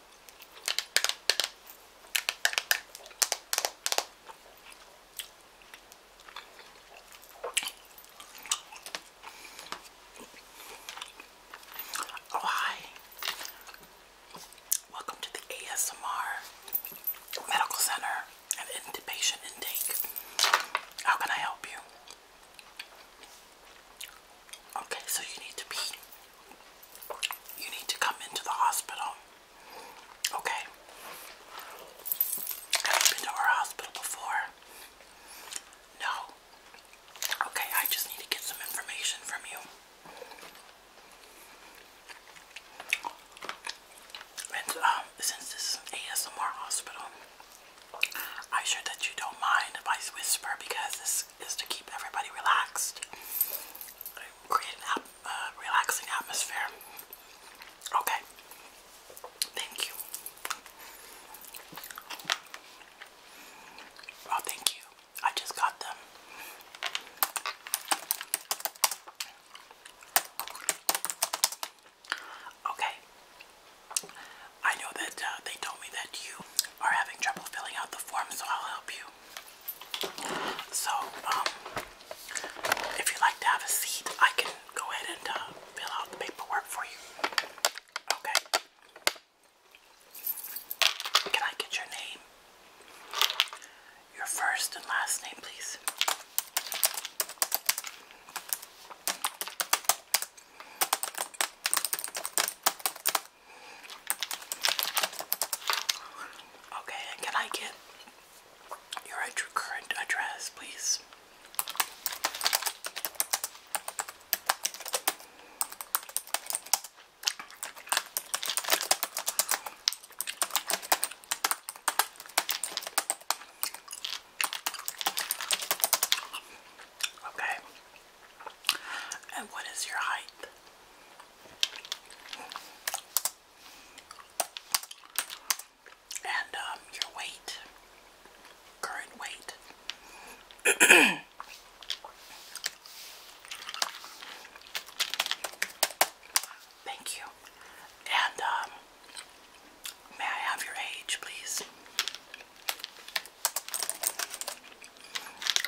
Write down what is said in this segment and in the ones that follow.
Oh, hi. Welcome to the ASMR Medical Center and Intubation Intake. How can I help you? Okay, so you need to be you need to come into the hospital. Okay. Have you been to our hospital before? No. Okay, I just need to get some information from you. And um, since this is ASMR hospital, I'm sure that you don't mind if I whisper because this is to keep everybody relaxed, create a uh, relaxing atmosphere. Okay, thank you. Oh, thank you. I just got them. Okay, I know that uh, they told me that you are having trouble filling out the form, so I'll help you. So, um, if you'd like to have a seat, I can go ahead and uh, fill out the paperwork for you. Okay. Can I get your name? Your first and last name, please. Okay, can I get your current address, please? Okay. And what is your height? And um, your weight? Current weight? Thank you. And um, May I have your age, please?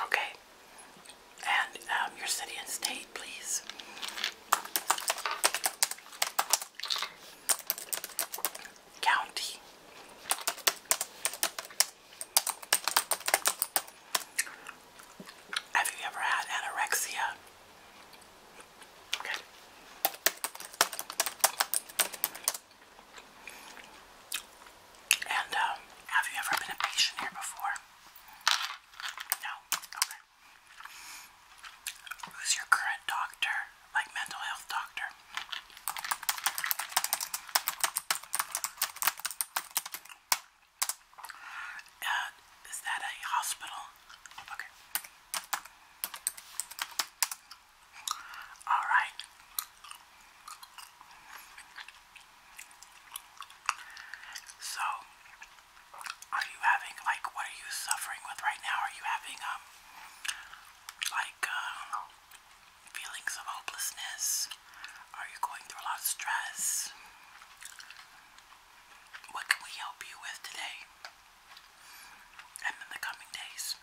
Okay. And um, your city and state, please. County. Have you ever had anorexia? And um, have you ever been a patient here before? No? Okay. Who's your current doctor? Like mental health doctor? Uh, is that a hospital? Okay. All right. So, are you having like what are you suffering with right now? Are you having um like uh, feelings of hopelessness? Are you going through a lot of stress? What can we help you with today? and in the coming days.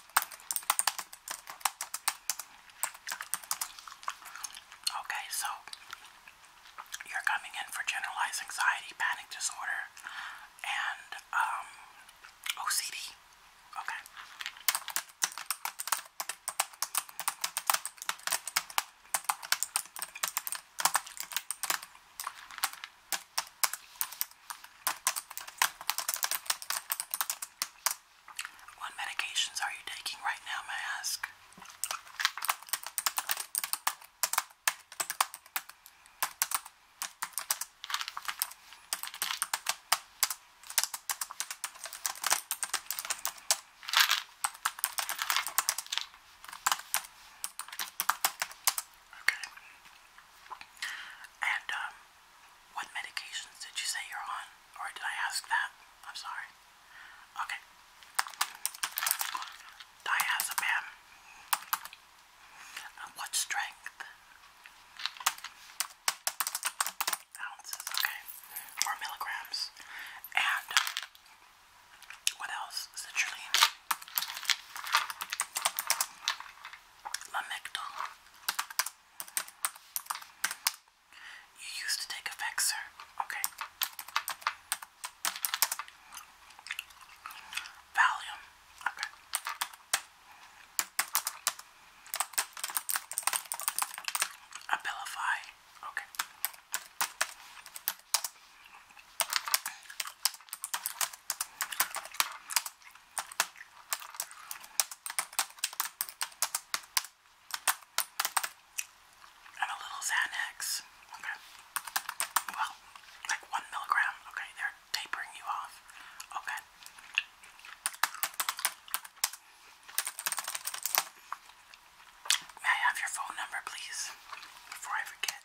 Okay, so you're coming in for generalized anxiety, panic disorder, and um, OCD. Okay. What medications are you taking right now, may I ask? Okay. And um, what medications did you say you're on? Or did I ask that? I'm sorry. Okay. Diazepam. what strength? Ounces, okay. Or milligrams. And what else? Citrulline. Lamictal. You used to take effects, sir. Okay. Valium. Okay. Abilify. Okay. And a little Xanax. Okay. Well, like one milligram. Okay, they're tapering you off. Okay. May I have your phone number, please? Before I forget.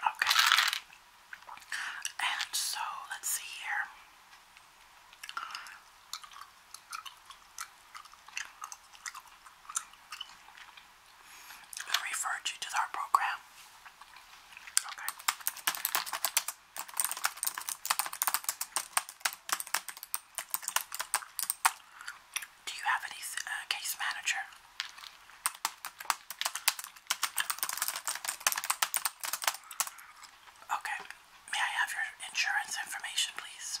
Okay. And so let's see here. I referred you to our program. Okay. Do you have any uh, case manager? Okay. May I have your insurance information, please?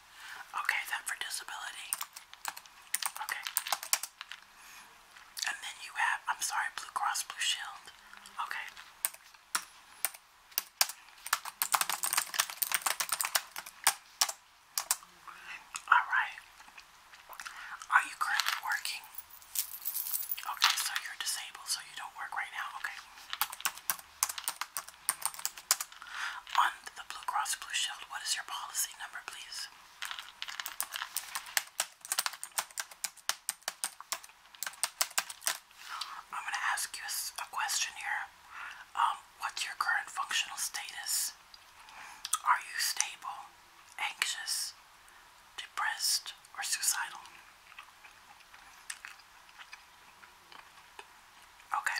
Okay, then for disability. Okay. And then you have, I'm sorry, Blue Cross Blue Shield. Okay. Alright. Are you currently working? Okay, so you're disabled, so you don't work right now. Okay. On the Blue Cross Blue Shield, what is your policy number, please? I'm going to ask you a question here. Um, what's your current functional status? Are you stable, anxious, depressed, or suicidal? Okay.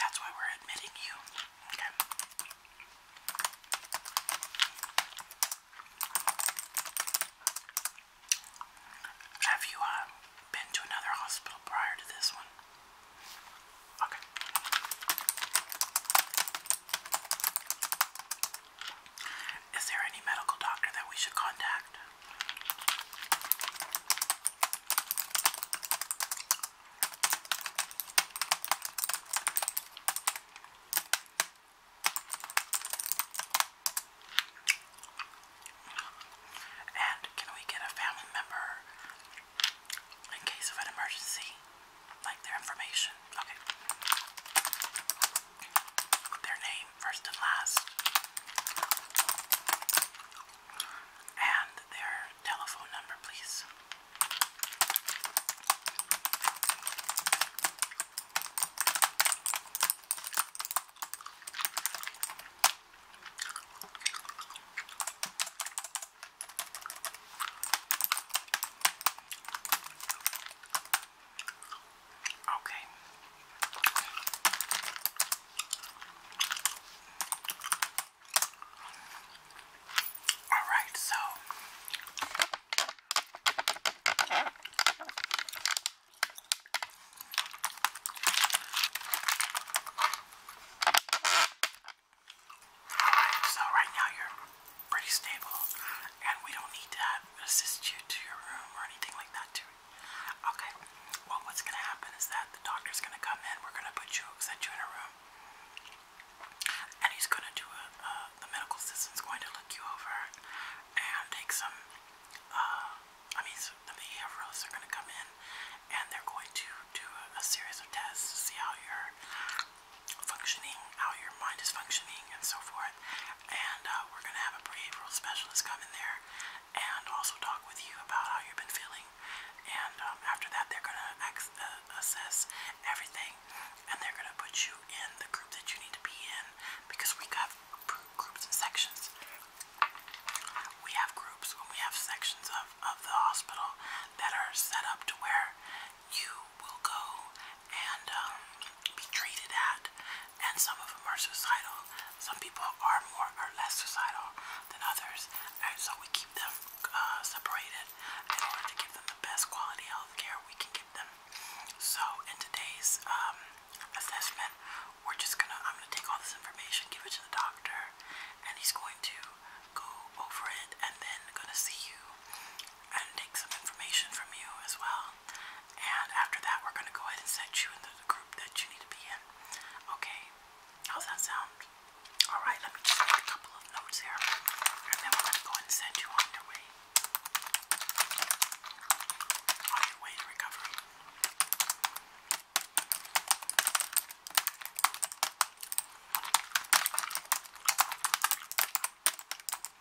That's why we're admitting you. Okay. Have you uh, been to another hospital prior to this one? Okay. Is there any medical doctor that we should contact? And can we get a family member in case of an emergency? Like their information? Okay their name first and last, and their telephone number, please. Okay. All right, so so right now you're pretty stable and we don't need to assist you to your room or anything like that Okay. Well, what's going to happen is that the doctor's going to come in. We're going to put you, set you in a room, and he's going to do a. Uh, the medical assistant's going to look you over and take some. Uh, I mean, so the behavioralists are going to come in, and they're going to do a, a series of tests to see how you're functioning, how your mind is functioning, and so forth. And uh, we're going to have a behavioral specialist come in there and also talk with you about how you've been feeling. And um, after that, they're going to uh, assess everything and they're going to put you in the group that you need to be in because we have groups and sections. We have groups when we have sections of, of the hospital that are set up to where you will go and um, be treated at. And some of them are suicidal. Some people are more or less suicidal than others. And so we keep them uh, separated in order to give them the best quality health care we can give them. So in today's um, assessment, we're just gonna, I'm gonna take all this information, give it to the doctor, and he's going to go over it and then gonna see you and take some information from you as well and after that, we're going to go ahead and set you into the group that you need to be in. Okay? How's that sound? Alright, let me just a couple of notes here. And then going to go and send you on your way. On your way to recovery.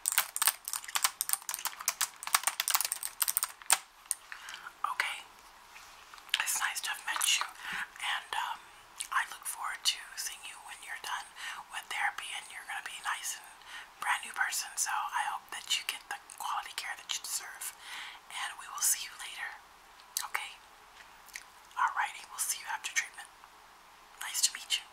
Okay, it's nice to have met you, and um, I look forward to seeing you when you're done with therapy and you're going to be nice and brand new person. So I hope that you get the quality care that you deserve, and we will see you later. Okay, alrighty, we'll see you after treatment. Nice to meet you.